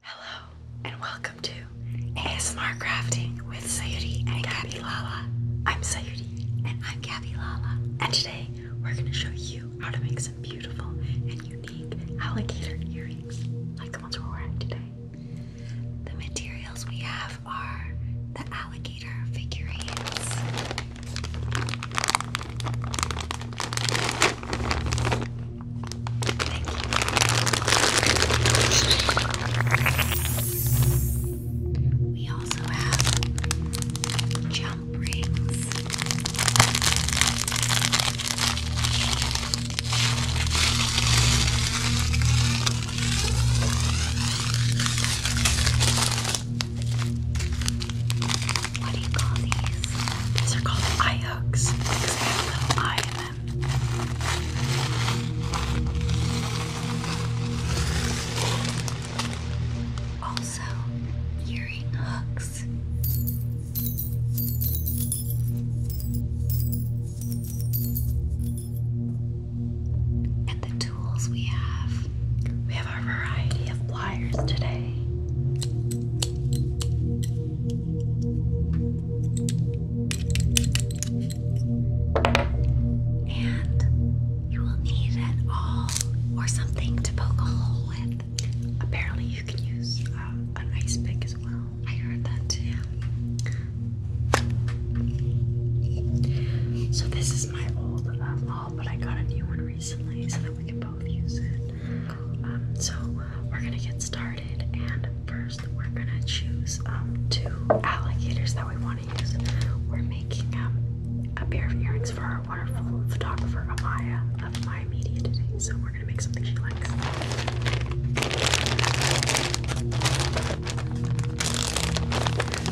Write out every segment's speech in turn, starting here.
Hello, and welcome to ASMR Crafting with Sayuri and Gabby Lala. I'm Sayuri, and I'm Gabby Lala, and today we're going to show you how to make some beautiful and unique alligator earrings, like the ones we're wearing today. The materials we have are the alligator figurines. Thank you. We also have jump rings what do you call these? These are called eye hooks because they have a little eye in them. Also, earring hooks. And the tools we have. We have a variety of pliers today. And you will need an awl or something to poke a hole with. Apparently, you can use uh, an ice pick as well. I heard that too. So, this is my old um, awl, but I got a new one recently so that we can um, so we're gonna get started, and first we're gonna choose um, two alligators that we want to use. We're making um, a pair of earrings for our wonderful photographer Amaya of My Media today, so we're gonna make something she likes.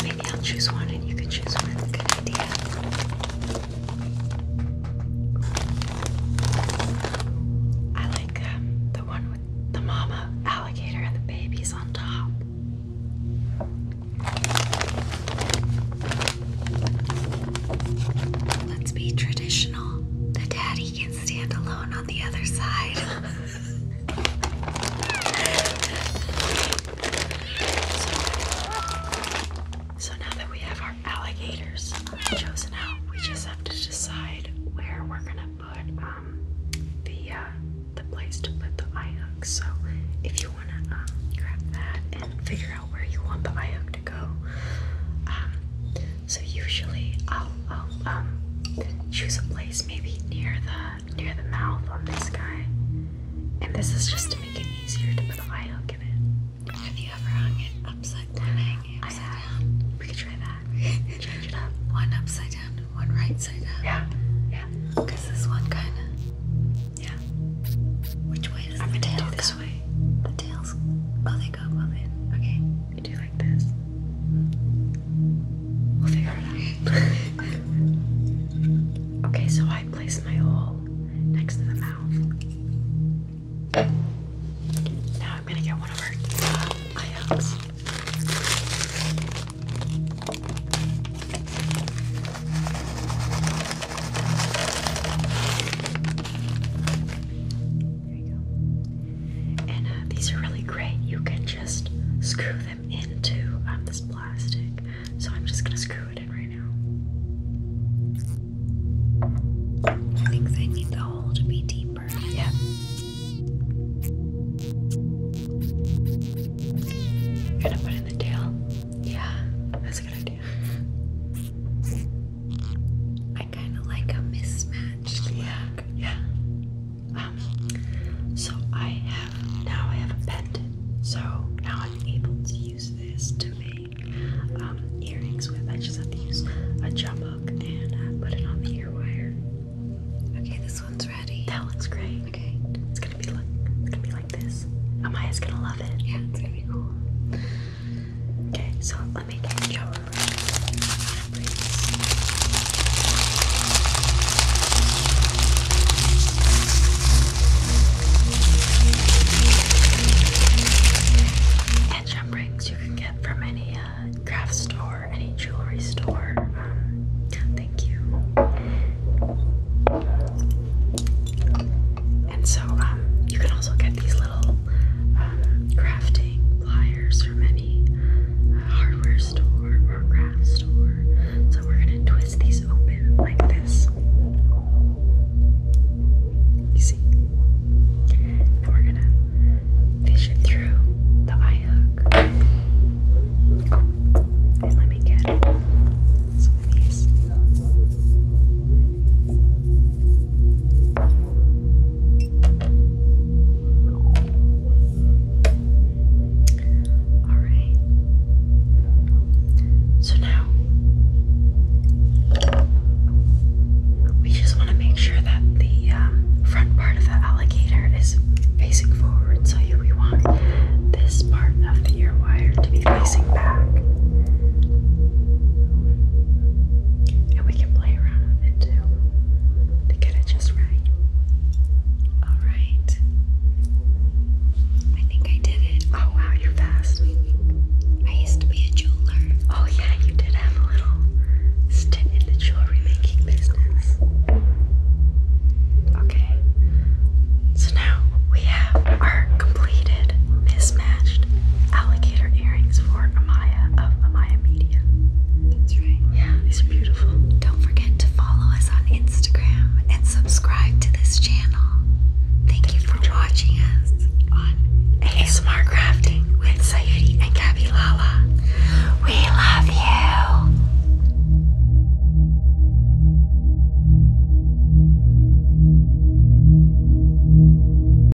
Maybe I'll choose one and you can choose one. Good idea. I like um, the one with the mama alligator and the babies on top. Let's be traditional. The daddy can stand alone on the other side. So, now that we have our alligators chosen out, we just have to decide where we're gonna put um, the uh, the place to put the eye hook. So if you wanna um, grab that and figure out where you want the eye hook to go. Um, so usually I'll, I'll choose a place maybe near the near the mouth on this guy. And this is just to make it easier to put an eye hook in it. Have you ever hung it upside down? I have. We could try that. Change it up. One upside down one right side up. Yeah. Yeah. Because this one kind of. Yeah. Which way does the tail this go? The tails. Oh, they go both in. Okay. do like this. We'll figure it out. Okay, so I place my hole next to the mouth. Now I'm gonna get one of our uh, eye And uh, these are really great. You can just screw into um, this plastic. So I'm just gonna screw it in right now. I think they need the hole to be deeper. Yeah. gonna put in the tail? Yeah, that's a good idea. I kind of like a mismatched look. Yeah. Um, so I have now I have a pendant. So now I'm able to use this to make um, earrings with. I just have to use a jump hook and uh, put it on the ear wire. Okay, this one's ready. That looks great. Okay, it's gonna be like it's gonna be like this. Amaya's gonna love it. Yeah, it's gonna be cool. Okay, so let me get chambricks. And you can get from any uh, craft store, any jewelry store. Um, thank you. And so um, you can also get these little um, crafting pliers from any any hardware store or craft store. So we're gonna twist these open like this. You see? And we're gonna fish it through the eye hook. let me get some of these. Alright. So now we just want to make sure that the um, front part of the alligator is facing forward. So we want this part of the ear wire to be facing back. And we can play around with it to get it just right. All right. I think I did it. Oh wow, you're fast. I used to be a jeweler. Oh yeah, you did have a little stint in the jewelry making business. Okay. So now we have our completed mismatched alligator earrings for Amaya of Amaya Media. That's right. Yeah. These are beautiful. Don't forget to follow us on Instagram and subscribe to this channel. Thank, you for, watching us on ASMR Crafting with Sayuri and Gabby Lala. We love you.